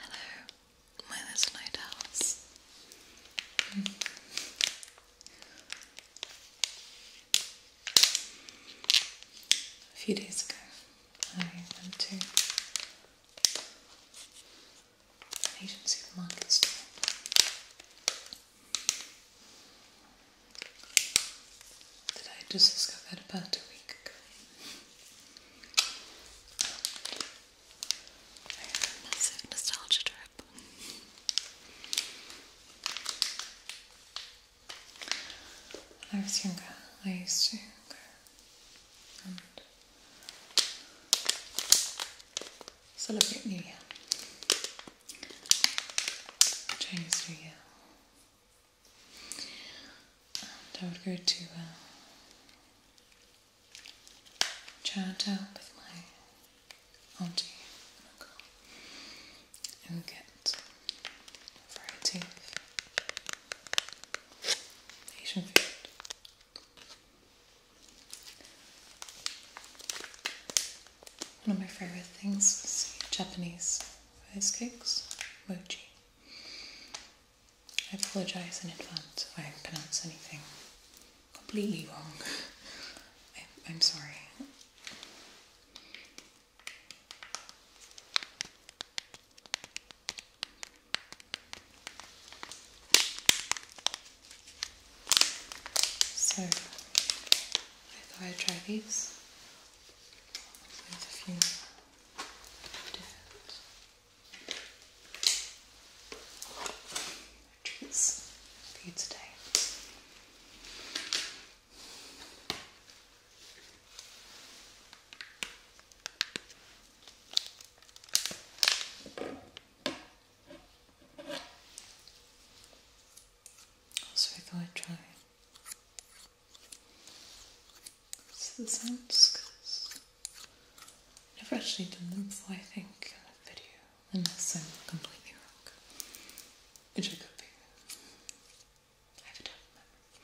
Hello, my little night house. A few days ago, I went to an Asian supermarket That I just discovered about a week ago. I had a massive nostalgia trip. I was younger, I used to go and celebrate New Year, Chinese New Year, and I would go to uh, Chinatown with my auntie and uncle and get it Asian food. One of my favorite things is Japanese ice cakes, mochi. I apologize in advance if I pronounce anything completely wrong. I'm sorry. So I thought I'd try these with a few different treats for you today. So I thought I'd try it the sounds because I've never actually done them before, I think, in a video, unless I'm completely wrong, which could be. I have a tough memory.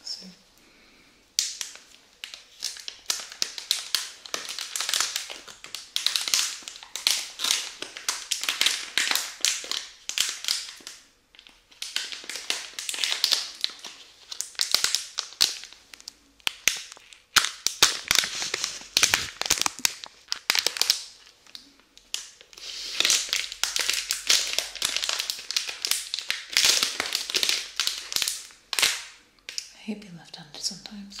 Okay. So I hate being left handed sometimes.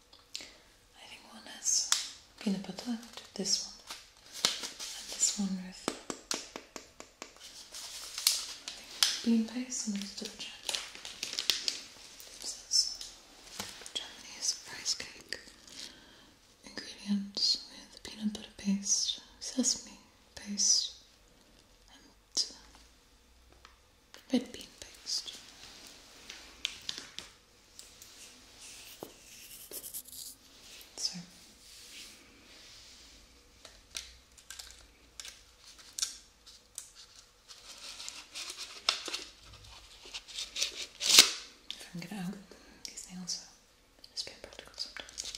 I think one has peanut butter, this one, and this one with bean paste and let's double check. This is Japanese rice cake. Ingredients with peanut butter paste, sesame paste, and red bean paste. So if I can get out, these nails are just being practical sometimes.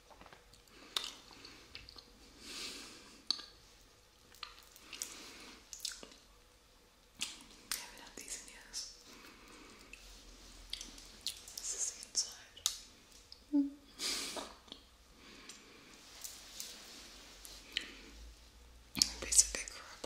I have these in This is the inside. Mm. Basically crap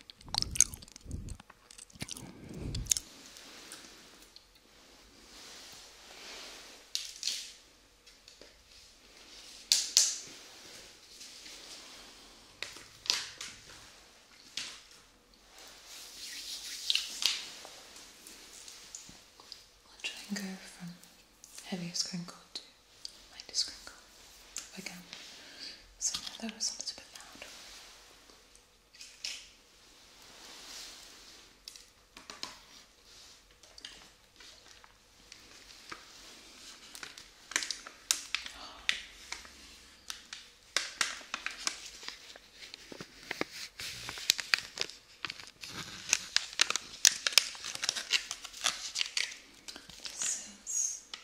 I'll try and go from heaviest crinkle to Light is crinkle again. So that was a little bit loud. This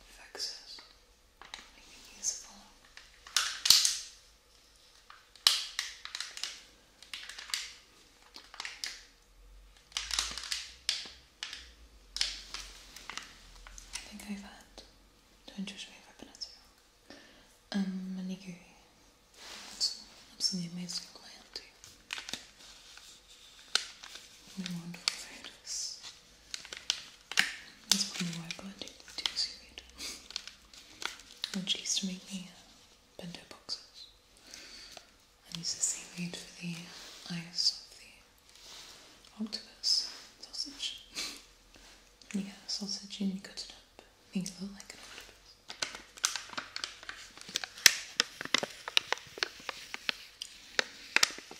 fixes. You can use a phone. I think I've had Twinter's favorite peninsula. Um, Manigiri. That's, that's the amazing land too. All wonderful photos. That's probably why I blended the two so good. Which used to make me uh, bento boxes. And use the seaweed for the eyes of the octopus sausage. you get the sausage and you cut it up, make it look like octopus.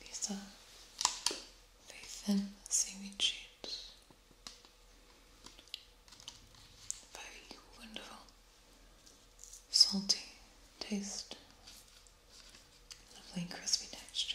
These are very thin seaweed sheets. Very wonderful, salty taste, lovely crispy texture.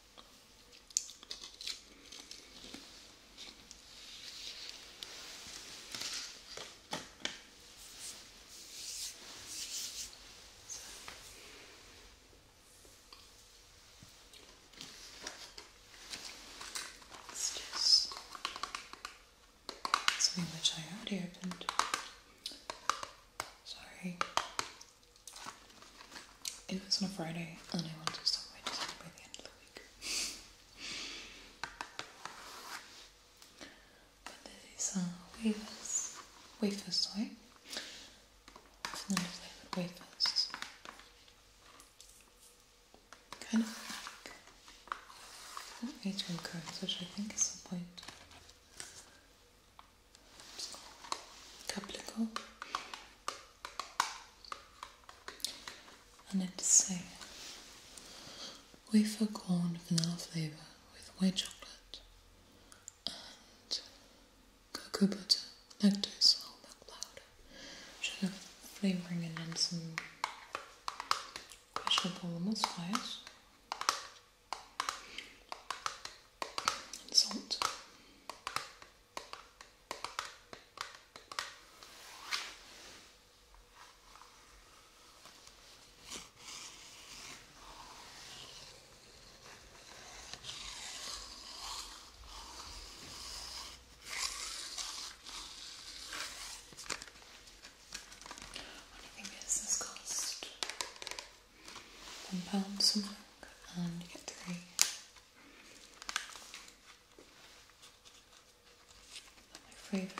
It's just something which I already opened. Sorry, it was on a Friday and I wanted to stop by Disney by the end of the week. but these are uh, wafers. Wafers, sorry. Vanilla flavoured wafers. Kind of like atrium codes, which I think is the point couple and it's saying wafer corn vanilla flavor with white chocolate and cocoa butter, lactose, whole milk powder, sugar flavoring, and then some questionable almost fries and salt. I think this cost one pound some milk and you get three. my favourite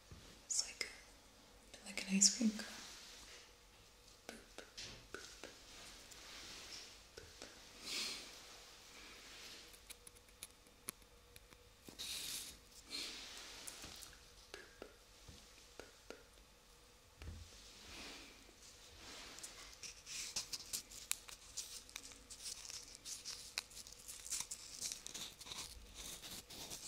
it's like like an ice cream cone.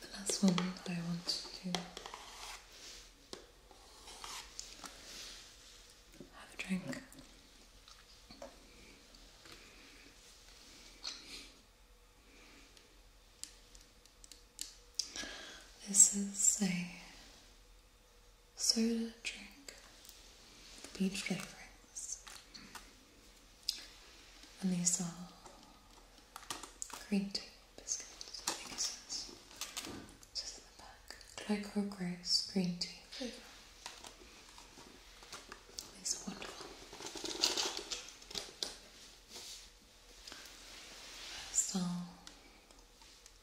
The last one I want to have a drink. This is a soda drink with peach flavorings. And these are green tea biscuits, I think it in the back. Glyco Grace green tea flavour. These are wonderful. 1st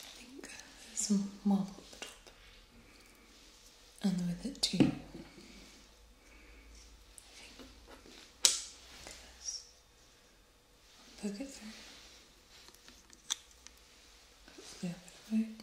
I think there's some marble at the top, and with it too. I think. Look at this. poke it through. Hopefully, I'll get it right.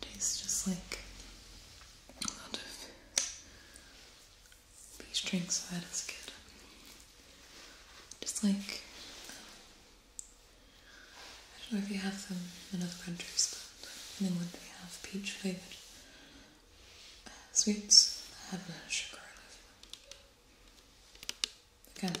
Tastes just like a lot of peach drink, so that is good. Just like, I don't know if you have them in other countries, but in England we have peach flavoured uh, sweets that have no sugar in them. I that.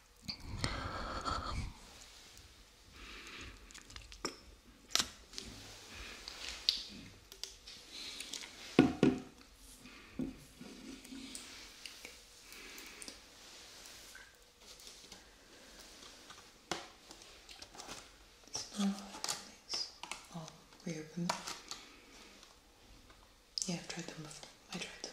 I'll reopen oh, them. Yeah, I've tried them before. I tried them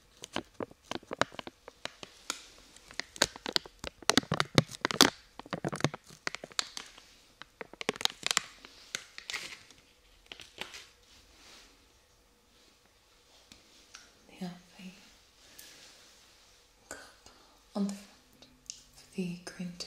Healthy cup on the front of the green tea.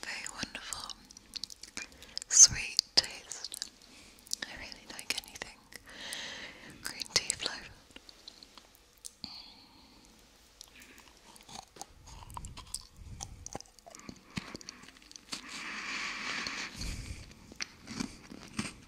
Very wonderful, sweet taste. I really like anything green tea flavored.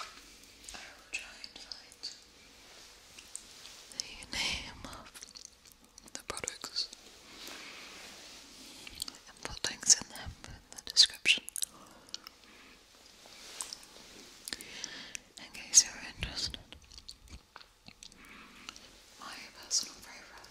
I will try and find the name of the products and put links in them in the description in case you're interested. My personal favourite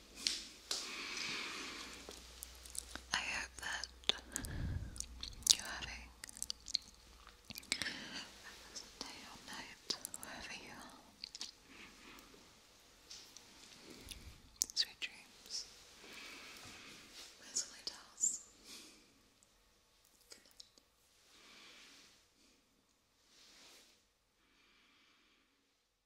I hope that you're having a pleasant day or night, wherever you are. Sweet dreams. That's all it does. Good night.